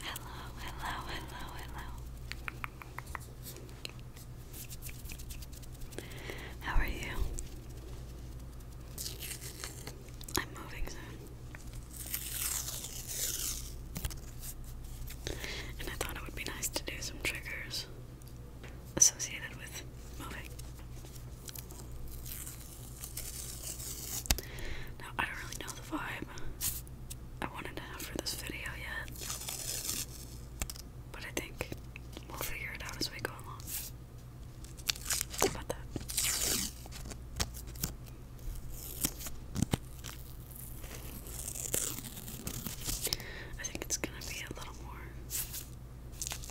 Hello, hello, hello, hello. How are you? I'm moving soon. And I thought it would be nice to do some triggers associated with moving. Now, I don't really know the vibe I wanted to for this video yet, but I think we'll figure it out as we go along. How about that? I think it's gonna be a little more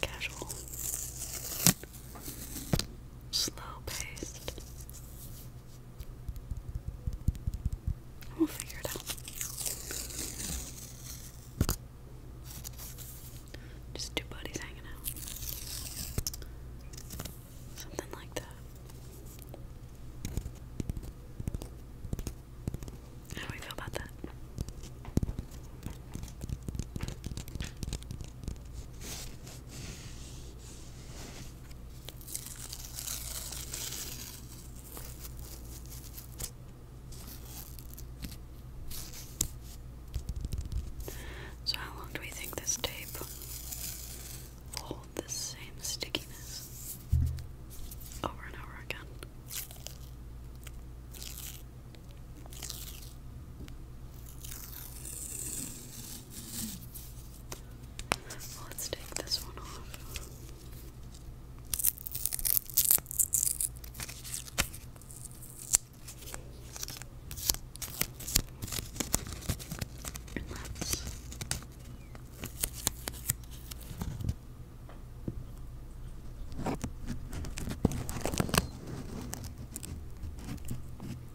casual slow pace. We'll figure it out. Just two buddies hanging out. Something like that. How we feel about that? So, how long do we think this tape will hold the same stickiness over and over again? Let's take this one off.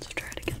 So try it again.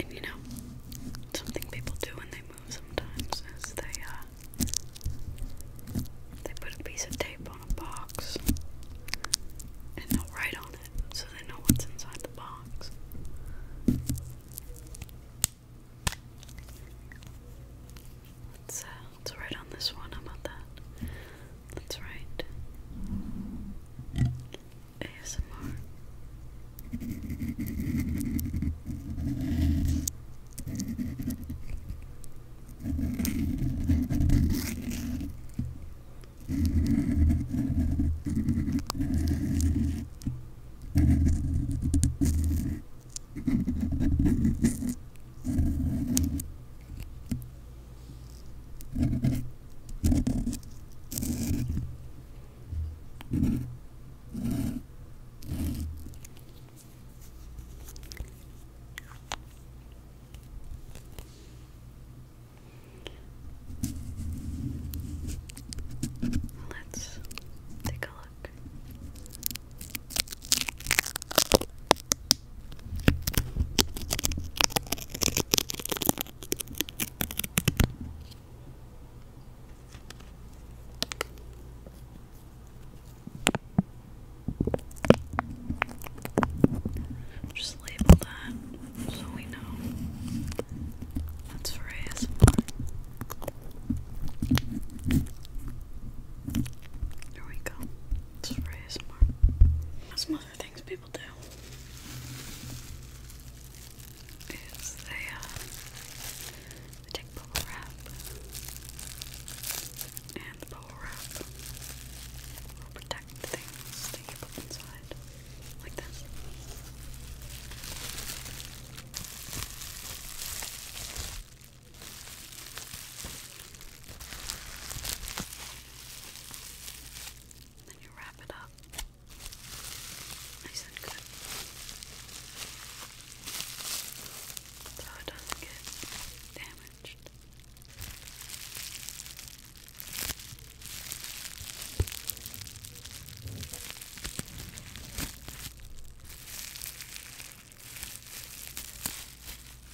And you know, something people do when they move sometimes is they uh, they put a piece of tape on a box and they write on it so they know what's inside the box. Let's, uh, write on this one. How about that? Let's ASMR. Let's take a look. Just label that so we know that's for ASMR. There we go. It's for ASMR. some other things people do. Is uh, they, take bubble wrap and the bubble wrap will protect things that you put inside, like this. Then you wrap it up nice and good so it doesn't get damaged.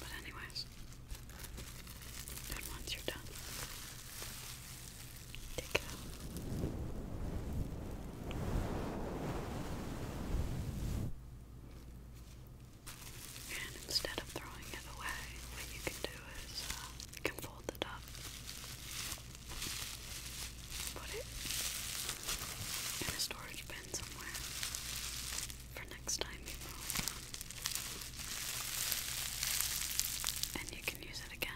But anyways, then once you're done, take it out. And instead of throwing it away, what you can do is uh, you can fold it up put it in a storage bin somewhere for next time you move. And you can use it again.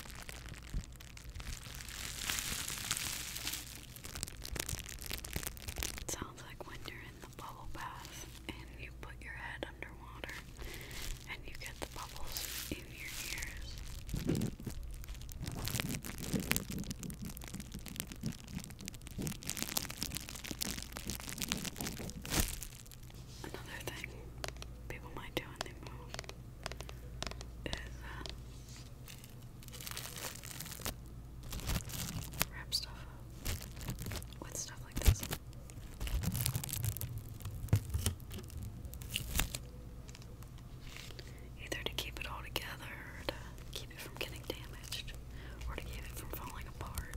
It sounds like when you're in the bubble bath and you put your head underwater and you get the bubbles in your ears. Another thing people might do when they move is uh, wrap stuff up with stuff like this. Either to keep it all together, to keep it from getting damaged, or to keep it from falling apart.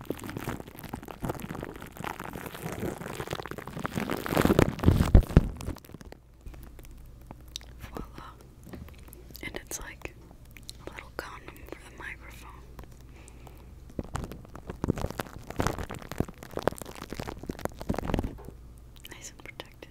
Voila. And it's like a little condom for the microphone. Nice and protected.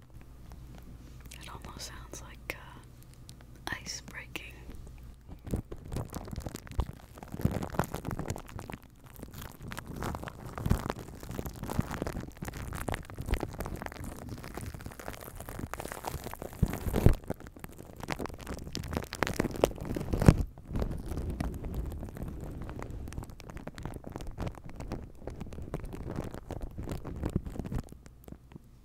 It almost sounds like uh, ice breaking.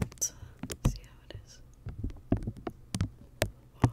Let's uh, see how it is. Wow.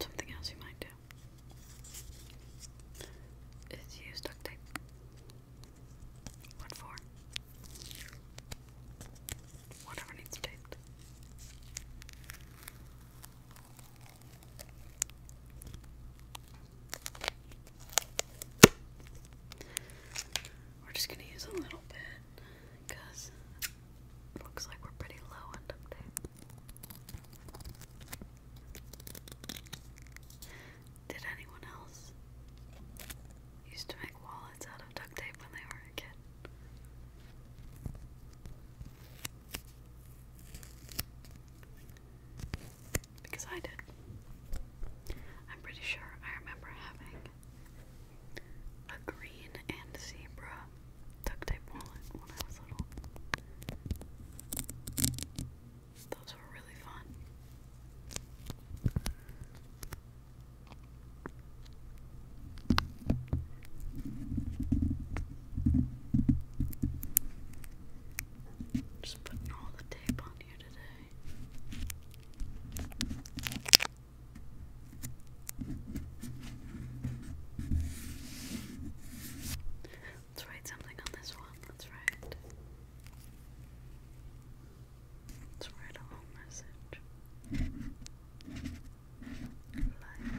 Something else you might do is use duct tape. What for? Whatever needs to taste. We're just gonna use a little bit it looks like we're pretty low on dump tape. Did anyone else use to make wall wallets out of duct tape when they were a kid. Because I did. I'm pretty sure I remember having a green and zebra duct tape wallet when I was little. Those were really fun. Just putting all the tape on here today. Let's write something on this one. Let's write. Let's write a whole message. Like and subscribe.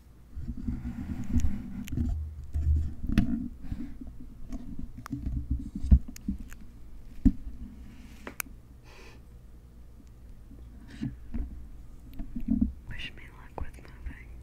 Wish me luck with moving.